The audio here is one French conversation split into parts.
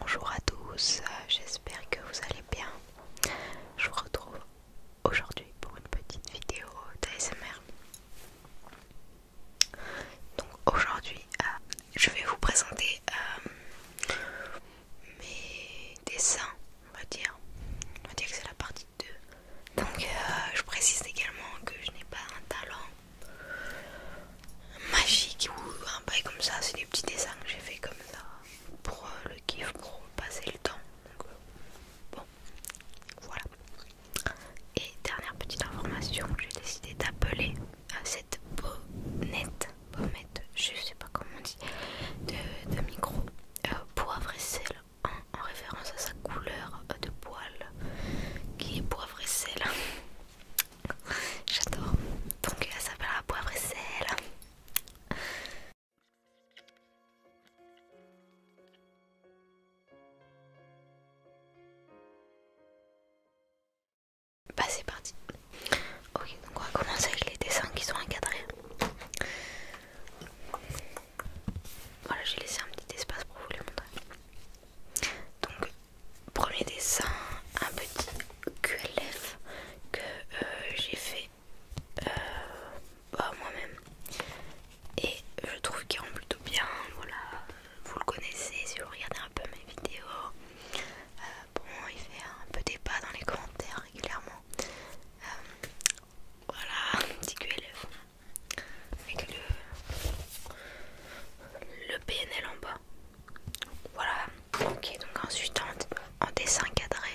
Bonjour à tous, j'espère que vous allez bien. Je vous retrouve aujourd'hui pour une petite vidéo d'ASMR. Donc aujourd'hui, euh, je vais vous présenter euh, mes dessins, on va dire. On va dire que c'est la partie 2. Donc euh, je précise également que je n'ai pas un talent magique ou un bail comme ça. C'est des petits dessins que j'ai fait comme ça pour euh, le kiff, pour passer le temps. Donc, euh, bon, voilà. Et dernière petite information, j'ai décidé d'appeler euh, cette bonnette, je sais pas comment on dit, de, micro poivre et sel en référence à sa couleur de poil qui est poivre et sel. J'adore. Donc elle s'appellera poivre et sel. Bah c'est parti. Ok, donc on va commencer avec les dessins qui sont encadrés. Voilà, j'ai laissé un petit espace pour vous les montrer. Donc premier dessin, un petit QLF que euh, j'ai fait euh, bah, moi-même et je trouve qu'il rend plutôt bien. Voilà, vous le connaissez si vous regardez un peu mes vidéos. Euh, bon, il fait un peu pas dans les commentaires régulièrement. voilà, petit QLF avec le PNL en bas. Voilà, ok, donc ensuite en, dessin cadré.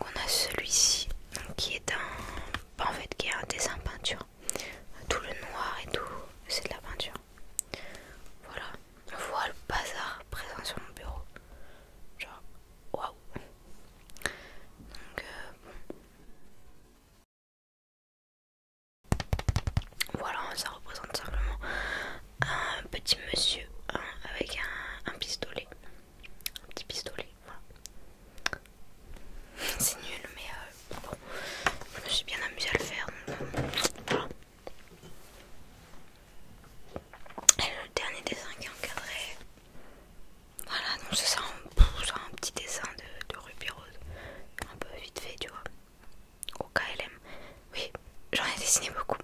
on a celui-ci qui est un. En fait, qui un dessin peinture. Tout le noir et tout, c'est de la peinture. Voilà, voilà le bazar présent sur mon bureau. Genre, waouh! Donc, euh, voilà, ça représente simplement un petit monsieur hein, avec un, pistolet. Un petit pistolet, C'est nul, mais euh, bon, je me suis bien amusée à le faire. Euh, Et le dernier dessin qui est encadré, voilà, donc c'est ça, un petit dessin de, Ruby Rose, un peu vite fait, tu vois. Au KLM, oui, j'en ai dessiné beaucoup.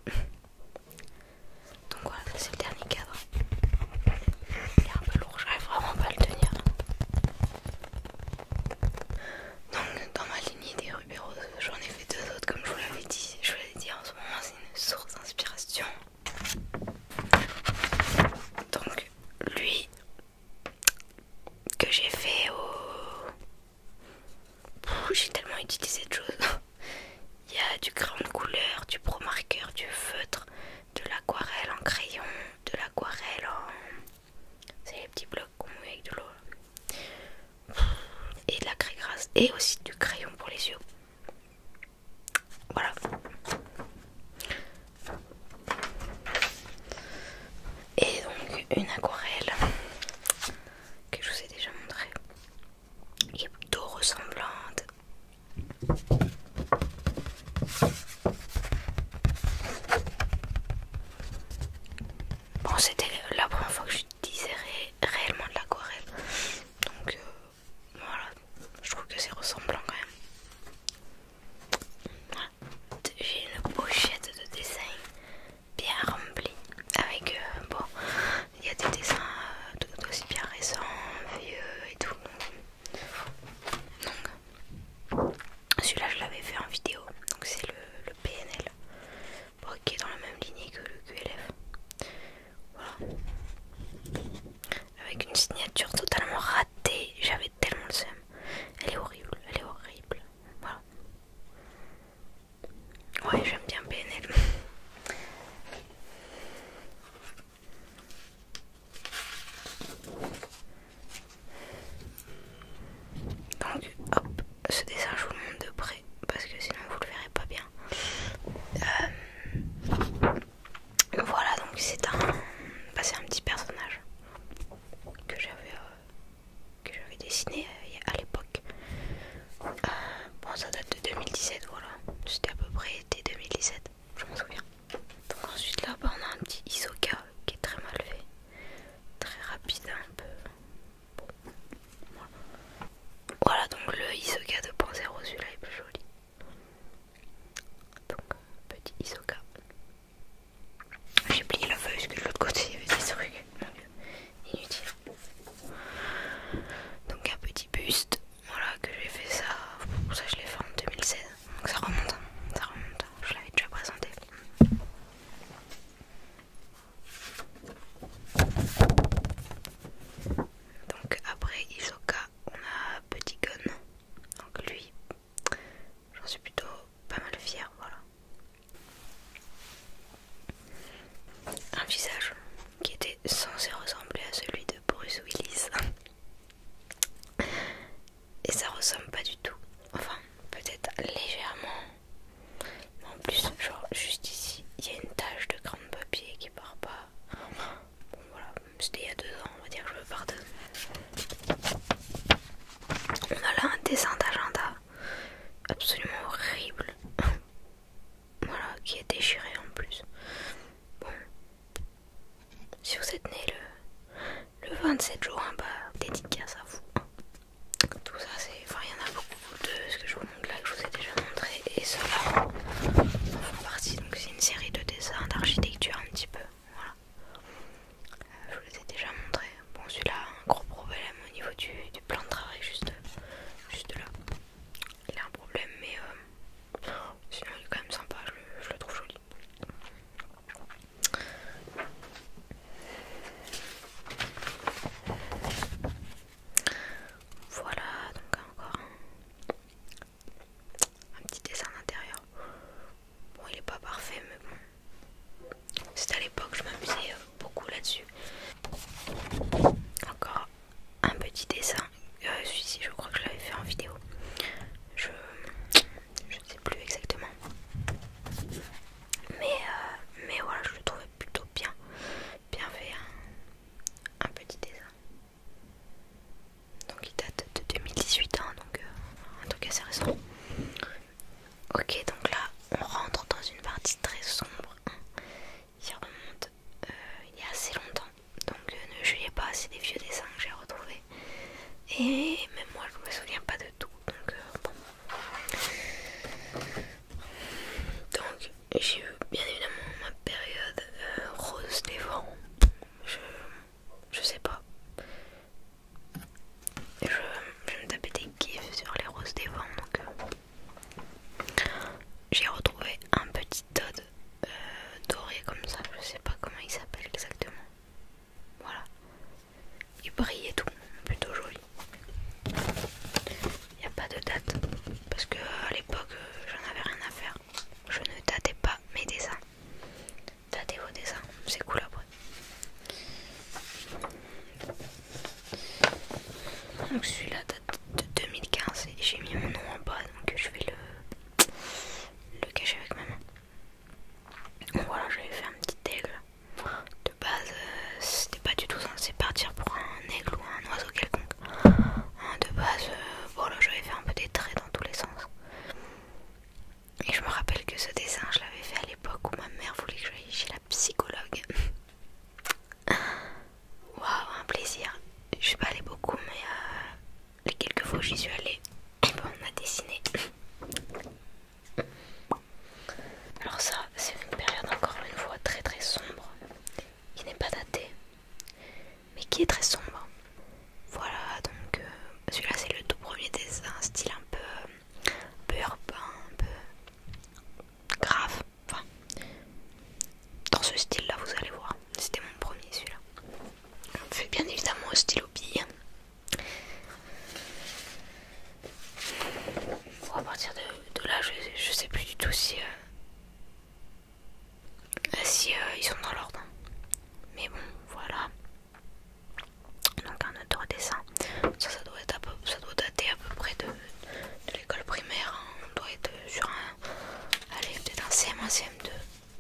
Donc voilà, c'est le dernier cadre. Il est un peu lourd, j'arrive vraiment pas à le tenir. Donc dans ma lignée des Ruby Rose, j'en ai fait deux autres comme je vous l'avais dit. Je vous l'ai dit en ce moment, c'est une source d'inspiration donc lui que j'ai fait au... J'ai tellement utilisé de choses. Il y a du crayon de couleur, du pro marqueur, du feutre, de l'aquarelle en crayon, de l'aquarelle en... C'est les petits blocs qu'on met avec de l'eau. Et de la craie grasse. Et aussi du crayon pour les yeux. Voilà. Et donc une aquarelle que je vous ai déjà montrée, qui est plutôt ressemblante. Bon, c'était la première fois que je disais réellement de l'aquarelle, donc euh, voilà, je trouve que c'est ressemblant quand même. J'ai une pochette de dessin bien remplie avec euh, bon, il y a des dessins euh, tout aussi bien récents, vieux et tout. Donc, celui-là, je l'avais fait en vidéo, donc c'est le, PNL qui est dans la même lignée que le QLF. Voilà avec une signature totalement ratée. J'avais tellement de seum. Elle est horrible, elle est horrible. Voilà. Ouais, j'aime bien PNL. Donc, hop, ce dessin je vous le montre de près parce que sinon vous le verrez pas bien. Euh, voilà, donc c'est un, bah, un petit personnage que j'avais euh, dessiné euh, à l'époque. Euh, bon, ça date de 2017, voilà. C'était à peu près été 2017, je m'en souviens. Donc ensuite là, bah, on a un petit Isoka qui est très mal fait, très rapide, un peu. Voilà. donc le Isoka 2.0, celui-là est plus joli. Donc, euh, petit Isoka. J'ai plié la feuille parce que de l'autre côté il y avait des trucs. inutile. Donc, un petit buste. Voilà, que j'ai fait ça. Ça, je l'ai fait en 2016. Donc, ça remonte. Hein. Ça remonte. Hein. Je l'avais déjà présenté. Donc après Isoka, on a Petit Gun. Donc lui, j'en suis plutôt pas mal fière, voilà. Un visage qui était censé ressembler à celui de Bruce Willis. Et ça ressemble pas du tout. Enfin, peut-être légèrement. Mais en plus, genre juste ici, il y a une tache de grande de papier qui part pas voilà, c'était il y a deux ans, on va dire que je veux partir On a là un dessin d'agenda absolument horrible. voilà, qui est déchiré en plus. Bon. Si vous êtes né le, 27 juin, bah dédicace à vous. Tout ça c'est. Enfin il y en a beaucoup de ce que je vous montre là que je vous ai déjà montré et cela là partie donc si une série de dessins d'architecture un petit peu. Voilà. Euh, je vous les ai déjà montrés. Bon, celui-là a un gros problème au niveau du, plan de travail, juste, là. Il a un problème, mais euh, sinon il est quand même sympa, je je le trouve joli. Voilà, donc encore un un petit dessin intérieur. Bon, il est pas parfait, mais bon. C'était à l'époque, je m'amusais beaucoup là-dessus. Encore un petit dessin. Euh, celui-ci, je crois que je l'avais fait en vidéo. Je ne sais plus exactement. Mais, euh, mais voilà, je le trouvais plutôt bien. Bien fait. Hein. Un petit dessin. Donc il date de 2018, hein, donc en euh, un truc assez récent. Ok, donc là on rentre dans une partie très sombre. Il remonte euh, il y a assez longtemps, donc euh, ne jugez pas, c'est des vieux dessins que j'ai retrouvé Et même moi je me souviens pas de tout, donc bon. Donc j'ai eu bien évidemment ma période euh, rose des vents. Je, sais pas. Je, me tapais des gifs sur les roses des vents. Donc euh, j'ai retrouvé un petit od euh, doré comme ça. Je sais pas comment il s'appelle exactement. Voilà. Il brille et tout. Plutôt joli. Il n'y a pas de date. Parce que à l'époque j'en avais rien à faire. Je ne datais pas mes dessins. Datez vos dessins, c'est cool après. Donc celui-là date de 2015 et j'ai mis mon nom en bas donc je vais le, le cacher avec ma main. voilà, j'avais fait un petit aigle. De base, euh, c'était pas du tout censé partir pour un aigle ou un oiseau quelconque de base euh, voilà, j'avais fait un peu des traits dans tous les sens et je me rappelle que ce dessin je l'avais fait à l'époque où ma mère voulait que j'aille chez la psychologue waouh un plaisir je suis pas allée beaucoup mais euh, les quelques fois où j'y suis allée eh ben, on a dessiné alors ça c'est une période encore une fois très très sombre qui n'est pas daté, mais qui est très sombre. Voilà, donc euh, celui-là c'est le tout premier dessin, style un peu, un peu urbain, un peu grave. Enfin, dans ce style-là, vous allez voir. C'était mon premier celui-là. Fait bien évidemment au stylo bille. Pour à partir de, là, je, je sais plus du tout si. Euh, ah si euh, ils sont dans l'ordre. Mais bon, voilà. Donc un autre dessin. Ça, doit, dater à peu près de, l'école primaire. Hein. On doit être sur un... Allez, peut-être un CM1, CM2.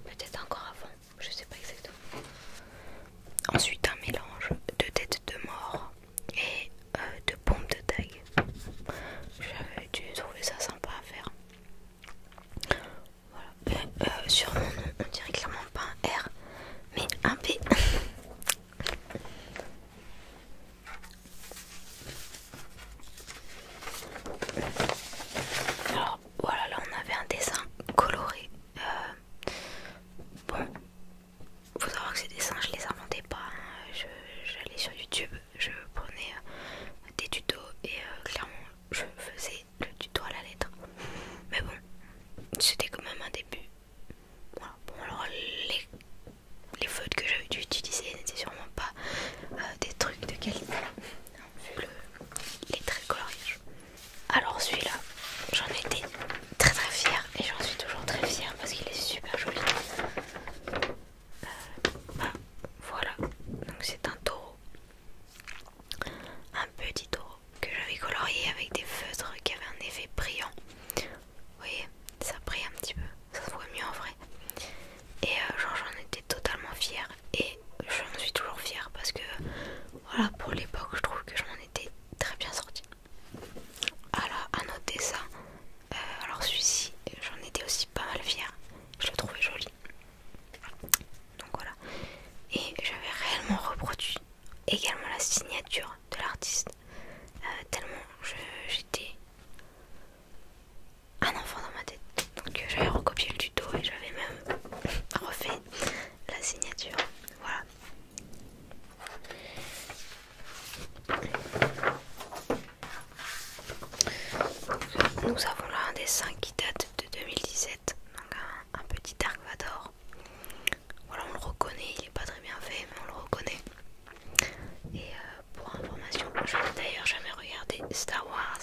Peut-être encore avant. Je sais pas exactement. Ensuite, un mélange de tête de mort et euh, de pompe de tag. J'avais dû trouver ça sympa à faire. Voilà. Euh, euh, sur mon nom, on dirait clairement pas un R, mais un P. Alors voilà, là on avait un dessin coloré. Euh, bon, faut savoir que ces dessins, je les inventais pas. Hein. J'allais sur YouTube, je prenais euh, des tutos et euh, clairement je faisais le tuto à la lettre. Mais bon, c'était quand même un début. Bon alors les, les feutres que j'avais dû utiliser n'étaient sûrement pas euh, des trucs de qualité. Hein, vu les traits Alors celui-là, j'en étais très très fière et j'en suis toujours très fière parce qu'il est super joli. Euh, voilà, donc c'est un taureau, un petit taureau que j'avais colorié avec des feutres qui avaient un effet brillant. Vous voyez, ça brille un petit peu, ça se voit mieux en vrai. Et euh, genre j'en étais totalement fière et m'en suis toujours fière parce que voilà pour l'époque je trouve que je m'en étais très bien sortie. Alors ah à noter ça, euh, alors celui-ci, j'en étais aussi pas mal fière. Je le trouvais joli. Donc voilà. Et j'avais réellement reproduit également la signature de l'artiste. Euh, tellement j'étais un enfant dans ma tête. Donc euh, j'avais recopié le tuto et j'avais même refait la signature. Voilà. Nous avons là un dessin qui date de 2017, donc un, petit Dark Vador. Voilà, on le reconnaît, il n'est pas très bien fait, mais on le reconnaît. Et euh, pour information, je n'ai d'ailleurs jamais regardé Star Wars.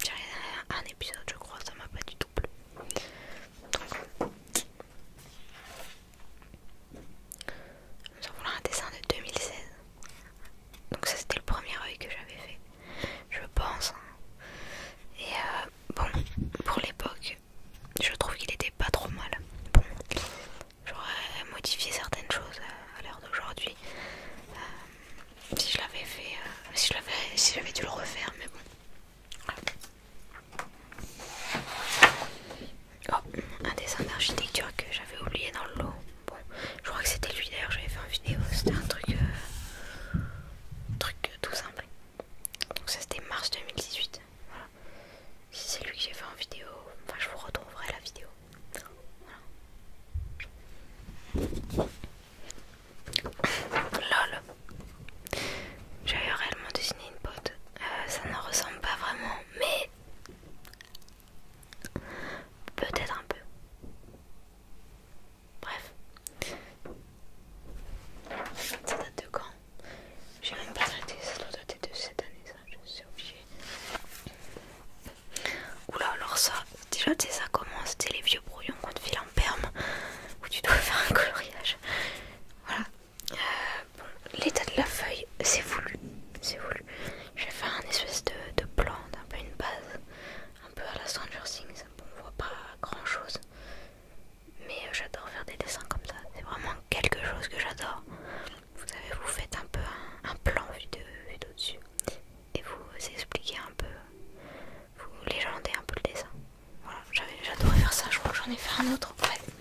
J'ai regardé un, épisode, je crois, ça m'a pas du tout plu. Nous en voilà un dessin de 2016. Donc ça c'était le premier œil que j'avais fait, je pense. Hein. Et euh, bon, pour l'époque, je trouve qu'il était pas trop mal. Bon, j'aurais modifié certaines choses euh, à l'heure d'aujourd'hui. Euh, si je l'avais fait, si si j'avais dû le refaire, mais bon. Oh, un dessin d'architecture que j'avais oublié dans le lot. Bon, je crois que c'était lui d'ailleurs, j'avais fait en vidéo, c'était un truc, euh, truc tout simple. Donc ça c'était mars 2018. Voilà. Si c'est lui que j'ai fait en vidéo, enfin je vous retrouverai la vidéo. Voilà. Lol. J'avais réellement dessiné une pote. Euh, ça ne ressemble pas vraiment, mais Peut-être un peu. Bref. Ça date de quand J'ai même pas arrêté ça doit dater de cette année, ça, je suis obligé. Oula, alors ça, déjà, tu sais, ça commence, C'était les vieux brouillons qu'on te file en perme, où tu dois faire un coloriage. Voilà. Euh, l'état de la feuille, c'est voulu. C'est voulu. Je vais faire un espèce de, plan, un peu une base, un peu à la Stranger Things. on voit pas grand chose, mais euh, j'adore faire des dessins comme ça. C'est vraiment quelque chose que j'adore. Vous savez, vous faites un peu un, plan vu d'au-dessus et vous euh, expliquez un peu, euh, vous légendez un peu le dessin. Voilà, j'adorais faire ça. Je crois que j'en ai fait un autre. Ouais.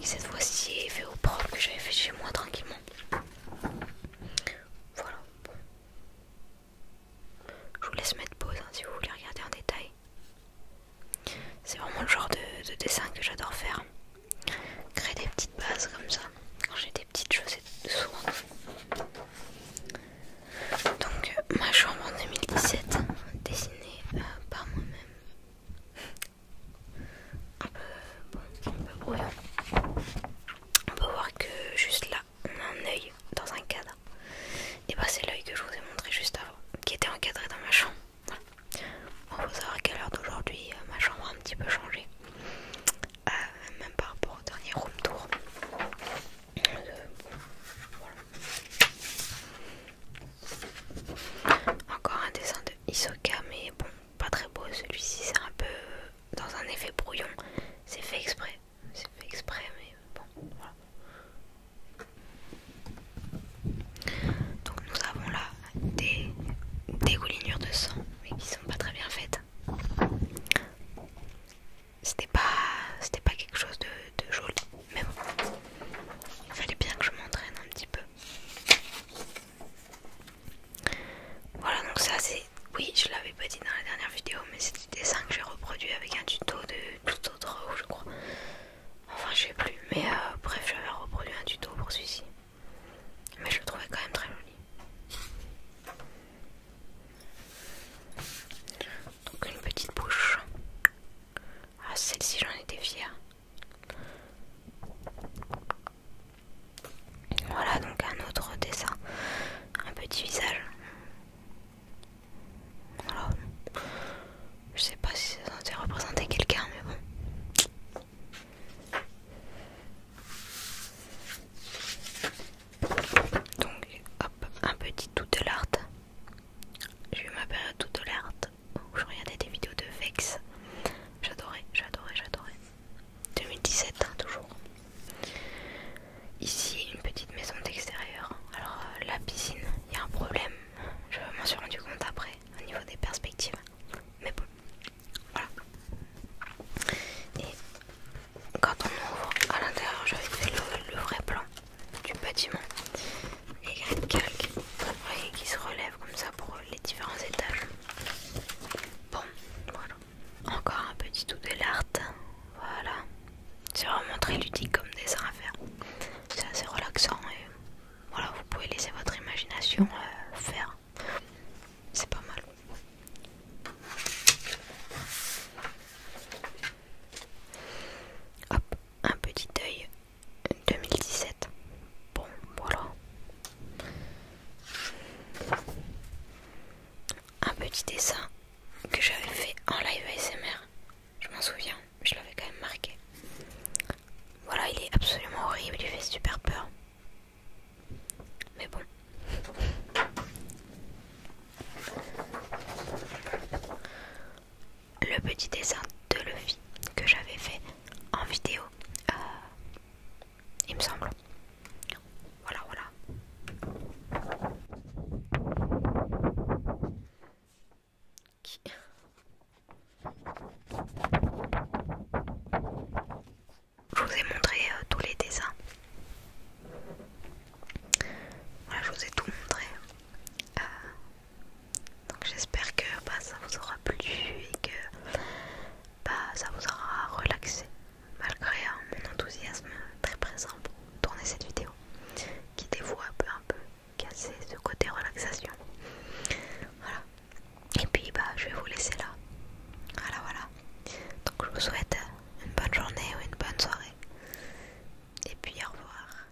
Et cette fois-ci est fait au propre que j'avais fait chez moi tranquillement. Voilà, Je vous laisse mettre pause hein, si vous voulez regarder en détail. C'est vraiment le genre de, dessin que j'adore faire. Créer des petites bases comme ça. Quand j'ai des petites choses, c'est Donc, ma chambre en 2017, Dessinée euh, par moi-même un peu, On peut voir que juste là, on a un œil dans un cadre. Et bah c'est l'œil que je vous ai montré juste avant, qui était encadré dans ma chambre. On peut savoir qu'à l'heure d'aujourd'hui, euh, ma chambre a un petit peu changé. Euh, même par rapport au dernier room tour. Euh, Encore un dessin de Isoka, mais bon, pas très beau celui-ci, c'est un peu euh, dans un effet brouillon. C'est fait exprès, c'est fait exprès, mais bon, voilà. Donc nous avons là des dégoulinures de sang, mais qui sont pas très bien faites. C'était pas, c'était pas quelque chose de, de joli, mais bon, il fallait bien que je m'entraîne un petit peu. Voilà, donc ça c'est... Oui, je l'avais pas dit dans la dernière vidéo, mais c'est du dessin que j'ai reproduit avec un tuto de tout autre, je crois. Enfin, je sais plus, mais euh, bref, j'avais reproduit un tuto pour celui-ci. Mais je le trouvais quand même très joli. Donc une petite bouche. Ah, celle-ci j'en étais fière. Voilà donc un autre dessin, un petit visage. Voilà. Je sais pas si ça s'est représenter quelqu'un, mais bon. Donc, hop, un petit tout de l'art. Je eu ma tout de l'art où je regardais des vidéos de Vex. J'adorais, j'adorais, j'adorais. 2017, hein, toujours. Ici, une petite maison d'extérieur. Alors, euh, la piscine, il y a un problème. Je m'en suis rendu compte après, au niveau des perspectives. Mais bon, voilà. Et quand on ouvre à l'intérieur, j'avais fait le vrai plan du bâtiment. Y a une qui se relève comme ça pour les différents étages. Bon, voilà. Encore un petit tout de l'art. Voilà. C'est vraiment très ludique comme dessin à faire. C'est assez relaxant et voilà, vous pouvez laisser votre imagination euh, faire. C'est pas mal. Hop, un petit œil 2017. Bon, voilà. Un petit dessin que j'avais fait en live ASMR. Je m'en souviens, je l'avais quand même marqué. Voilà, il est absolument horrible, il fait super peur. Mais bon le petit dessin de Luffy que j'avais fait en vidéo, euh, il me semble. Voilà, voilà. Je vous ai montré euh, tous les dessins. Voilà, je vous ai tout montré. Euh, donc j'espère que bah, ça vous aura plu et que bah, ça vous aura relaxé malgré mon enthousiasme très présent pour tourner cette vidéo qui vous un peu un peu casser ce côté relaxation. Voilà. Et puis bah je vais vous laisser là. Voilà voilà. Donc je vous souhaite une bonne journée ou une bonne soirée. Et puis au revoir.